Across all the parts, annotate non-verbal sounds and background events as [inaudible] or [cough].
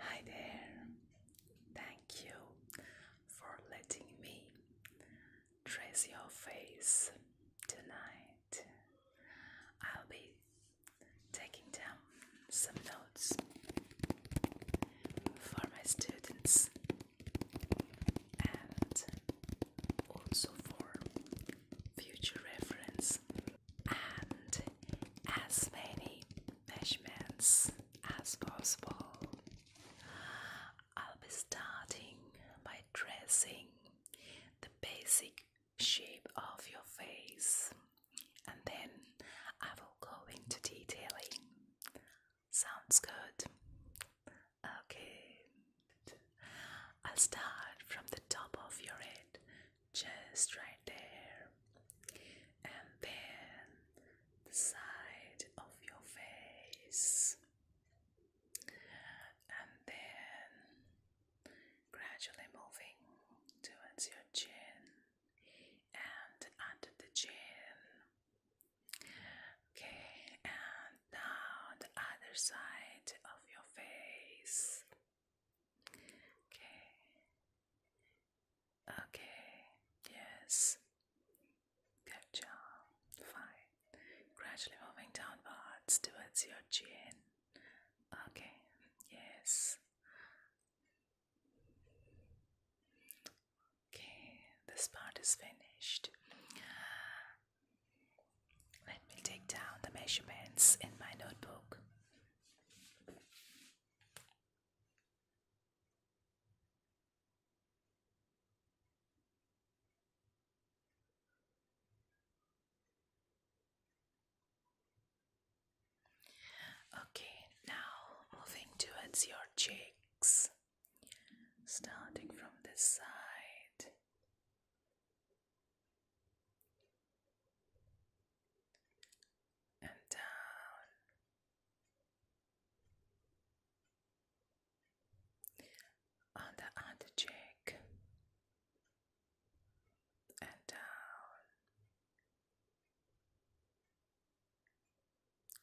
Hi there, thank you for letting me trace your face tonight. I'll be taking down some notes for my students and also for future reference and as many measurements as possible. I'll be starting by tracing the basic shape of your face and then I will go into detailing Sounds good. Okay. I'll start from the top of your head, just right there, and then the side of your face, and then gradually moving towards your chin and under the chin, Okay, and now the other side of your face. Okay. Okay, yes. Good job. Fine. Gradually moving downwards towards your chin. Okay, yes. Okay, this part is finished. Let me take down the measurements in my notebook. Okay, now moving towards your cheeks starting from this side. And down on the other cheek, and down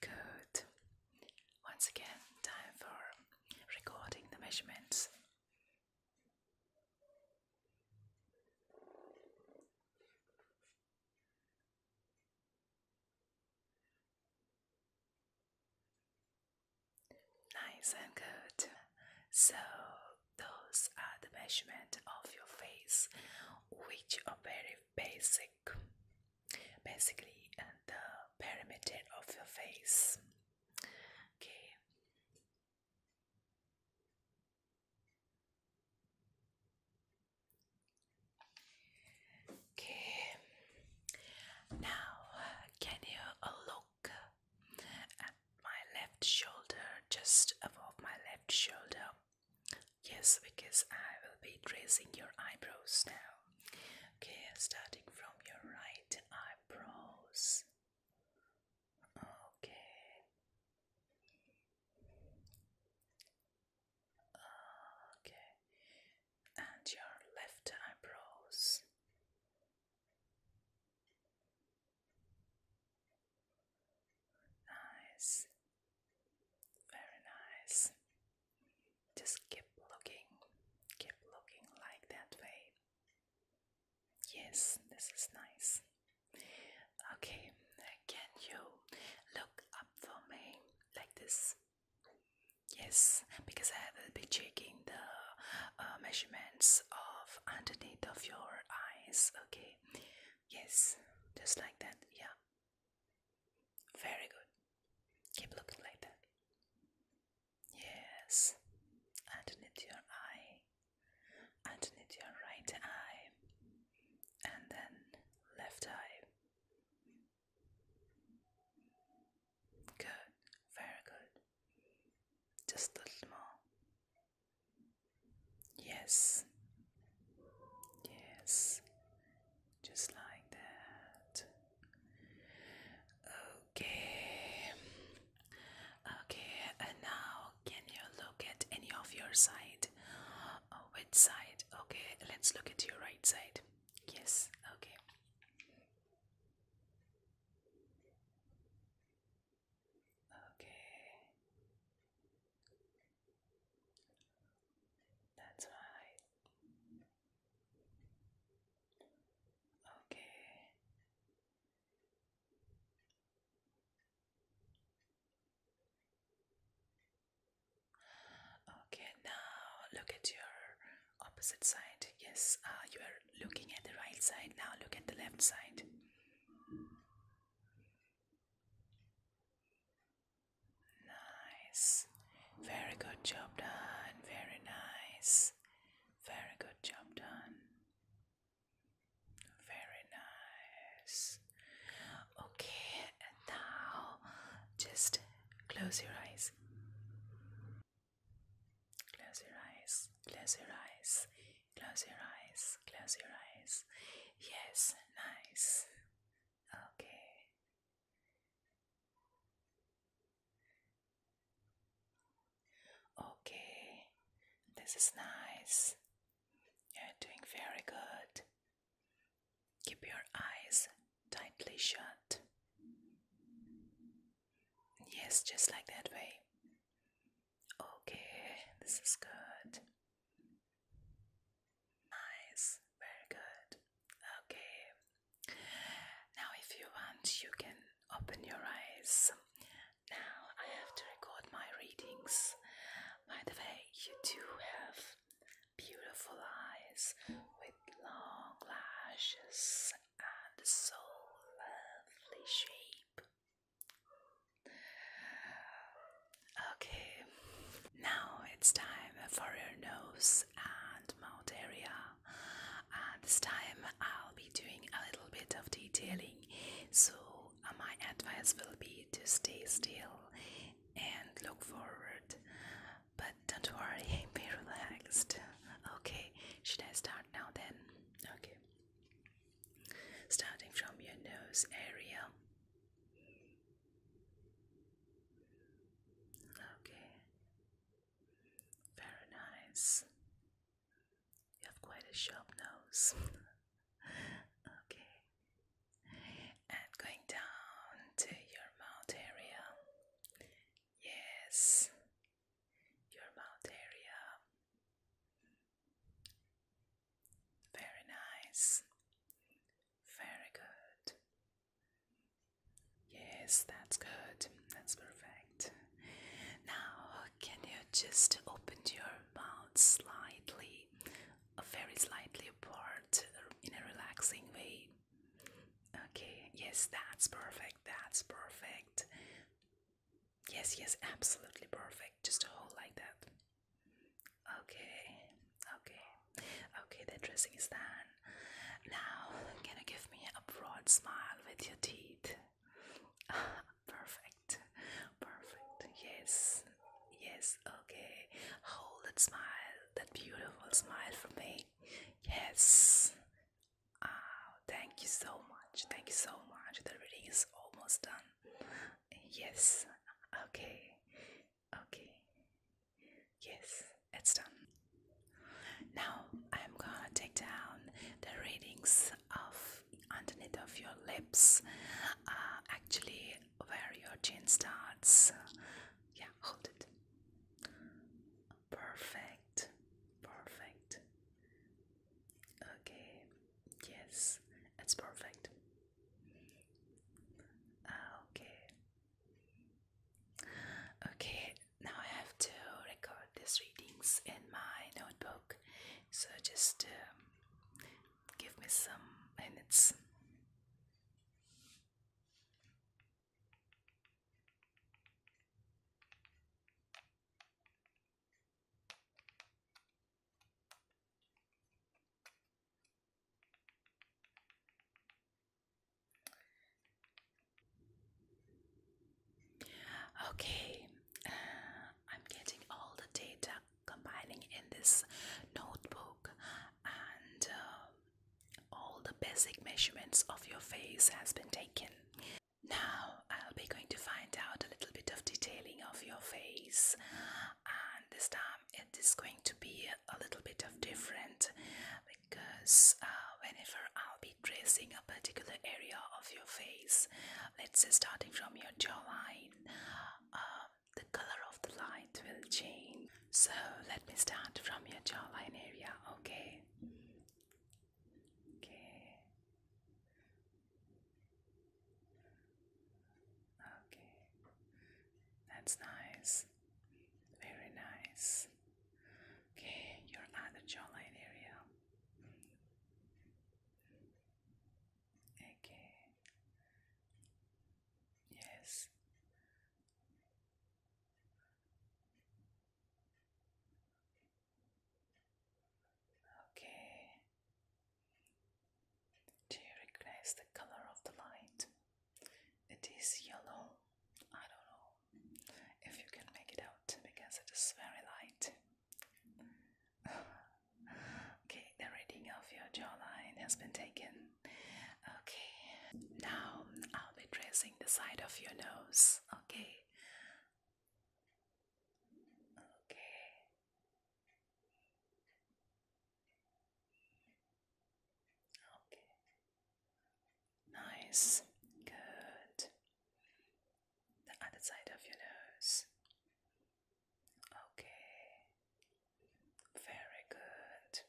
Good. Once again, time for recording the measurements. Nice and good. So, those are the measurement of your face, which are very basic basically the perimeter of your face okay okay now can you look at my left shoulder just above my left shoulder Yes, because I will be tracing your eyebrows now. Okay, starting from your right eyebrows. Okay. Okay. And your left eyebrows. Nice. Very nice. Just keep looking. Keep looking like that way. Yes, this is nice. Okay, can you look up for me like this? Yes, because I will be checking the uh, measurements of underneath of your eyes. Okay, Yes, just like that. Yeah. Very good. Keep looking like that. Yes. Underneath your eye. Underneath your right eye. And then left eye. Good. Very good. Just a little more. Yes. Yes. Just like that. Okay. Okay, and now can you look at any of your side? Oh, which side? Okay, let's look at your right side. Yes, okay. Okay. That's my Okay. Okay, now look at your opposite side. Yes, uh, you are looking at the right side. Now look at the left side. Nice. Very good job done. Very nice. Very good job done. Very nice. Okay, and now just close your eyes. Close your eyes. Close your eyes. Close your eyes. Close your eyes. Yes, nice. Okay. Okay. This is nice. You're doing very good. Keep your eyes tightly shut. Yes, just like that way. Okay, this is good. Nice, very good. Okay, now if you want, you can open your eyes. Now I have to record my readings. By the way, you do have beautiful eyes with long lashes and so lovely shape. Okay, now it's time for your nose and mouth area. And uh, this time I'll be doing a little bit of detailing. So, uh, my advice will be to stay still and look forward. But don't worry, [laughs] be relaxed. Okay, should I start now then? Okay starting from your nose area. Okay, very nice. You have quite a sharp nose. okay, and going down to your mouth area. Yes, your mouth area. Very nice. Very good. Yes, that's good. That's perfect. Now, can you just open your mouth slightly, uh, very slightly apart uh, in a relaxing way? Okay, yes, that's perfect. That's perfect. Yes, yes, absolutely perfect. Just hold like that. Okay, okay, okay, the dressing is done. Now, can you give me a broad smile with your teeth? [laughs] perfect, perfect. Yes, yes, okay. Hold that smile, that beautiful smile for me. Yes, Ah, thank you so much. Thank you so much. The reading is almost done. Yes. Okay. Okay. Yes, it's done. Now I'm gonna take down the readings of underneath of your lips. Uh, actually, where your chin starts. Yeah, hold it perfect, perfect. Okay, yes, it's perfect. Ah, okay, okay. Now I have to record these readings in my notebook, so just um, give me some minutes. Okay, uh, I'm getting all the data compiling in this notebook, and uh, all the basic measurements of your face has been taken. Now, I'll be going to find out a little bit of detailing of your face, and this time it is going to be a little bit of different because uh, whenever I'll be tracing a particular area of your face, let's say starting from your jawline, uh, the color of the light will change. So, let me start from your jawline area, okay? Okay. Okay. That's nice. Very nice. Okay, your other jawline area. Okay. Yes. Okay. Do you recognize the color of the light? It is yellow. I don't know if you can make it out because it is very light. [sighs] okay, the reading of your jawline has been taken. Okay, now I'll be tracing the side of your nose. Okay. Okay. Okay. Nice. Good. The other side of your nose. Okay. Very good.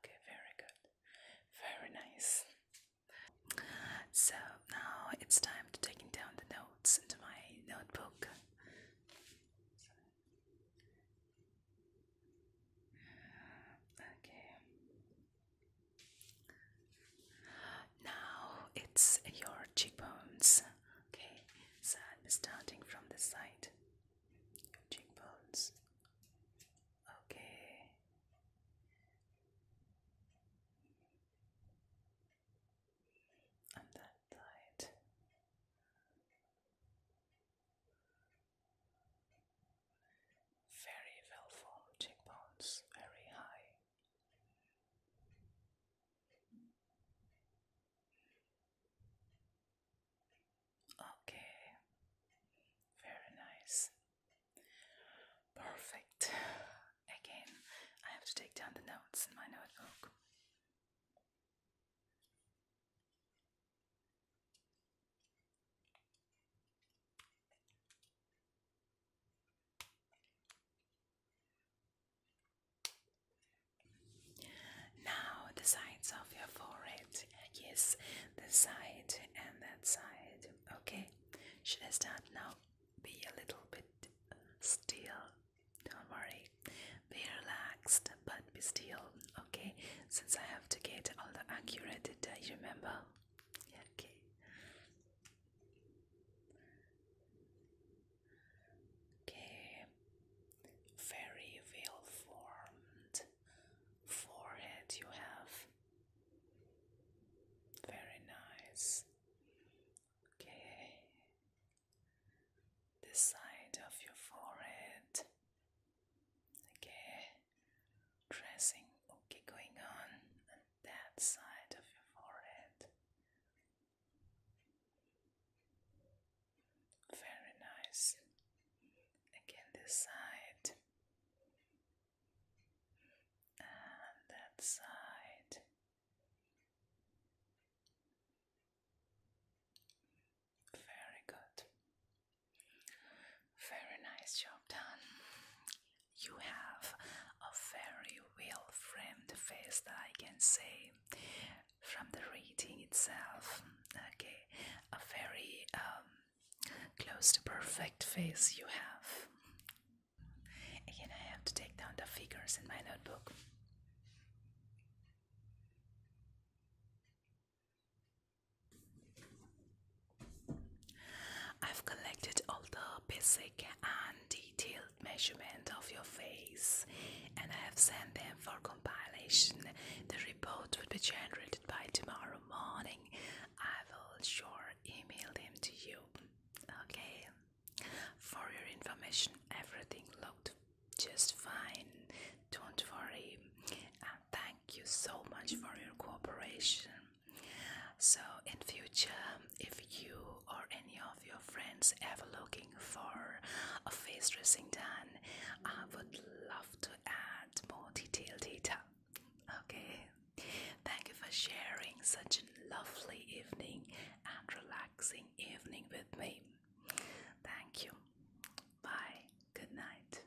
Okay, very good. Very nice. So now it's time to taking down the notes into my notebook. Okay. Now it's your cheekbones. Okay, so I'm starting from the side cheekbones. Okay. And that side. Very well formed cheekbones, very high. Okay, very nice. Perfect. Again, I have to take down the notes in my notebook. Now the sides of your forehead. Yes, this side and that side. Okay, should I start now? Be a little bit still. Don't worry. Be relaxed, but be still. Okay, since I have to get all the accurate data, you remember? Okay. Okay, very well formed forehead you have. Very nice. Okay, the side of your forehead. Okay, dressing. Okay, going on that side of your forehead. Very nice. Again, this side and that side. Very good. Very nice job done. You have a very well framed face that I can say from the reading itself. Okay, a very um, close to perfect face you have. Again, I have to take down the figures in my notebook. I've collected all the basic and detailed measurement of your face, and I have sent them for compilation. The report will be generated by tomorrow morning. I will sure email them to you. Okay. For your information, everything looked just fine. Don't worry. Uh, thank you so much for your cooperation. So, in future, if you or any of of your friends ever looking for a face dressing done, I would love to add more detailed data. Okay, thank you for sharing such a lovely evening and relaxing evening with me. Thank you. Bye. Good night.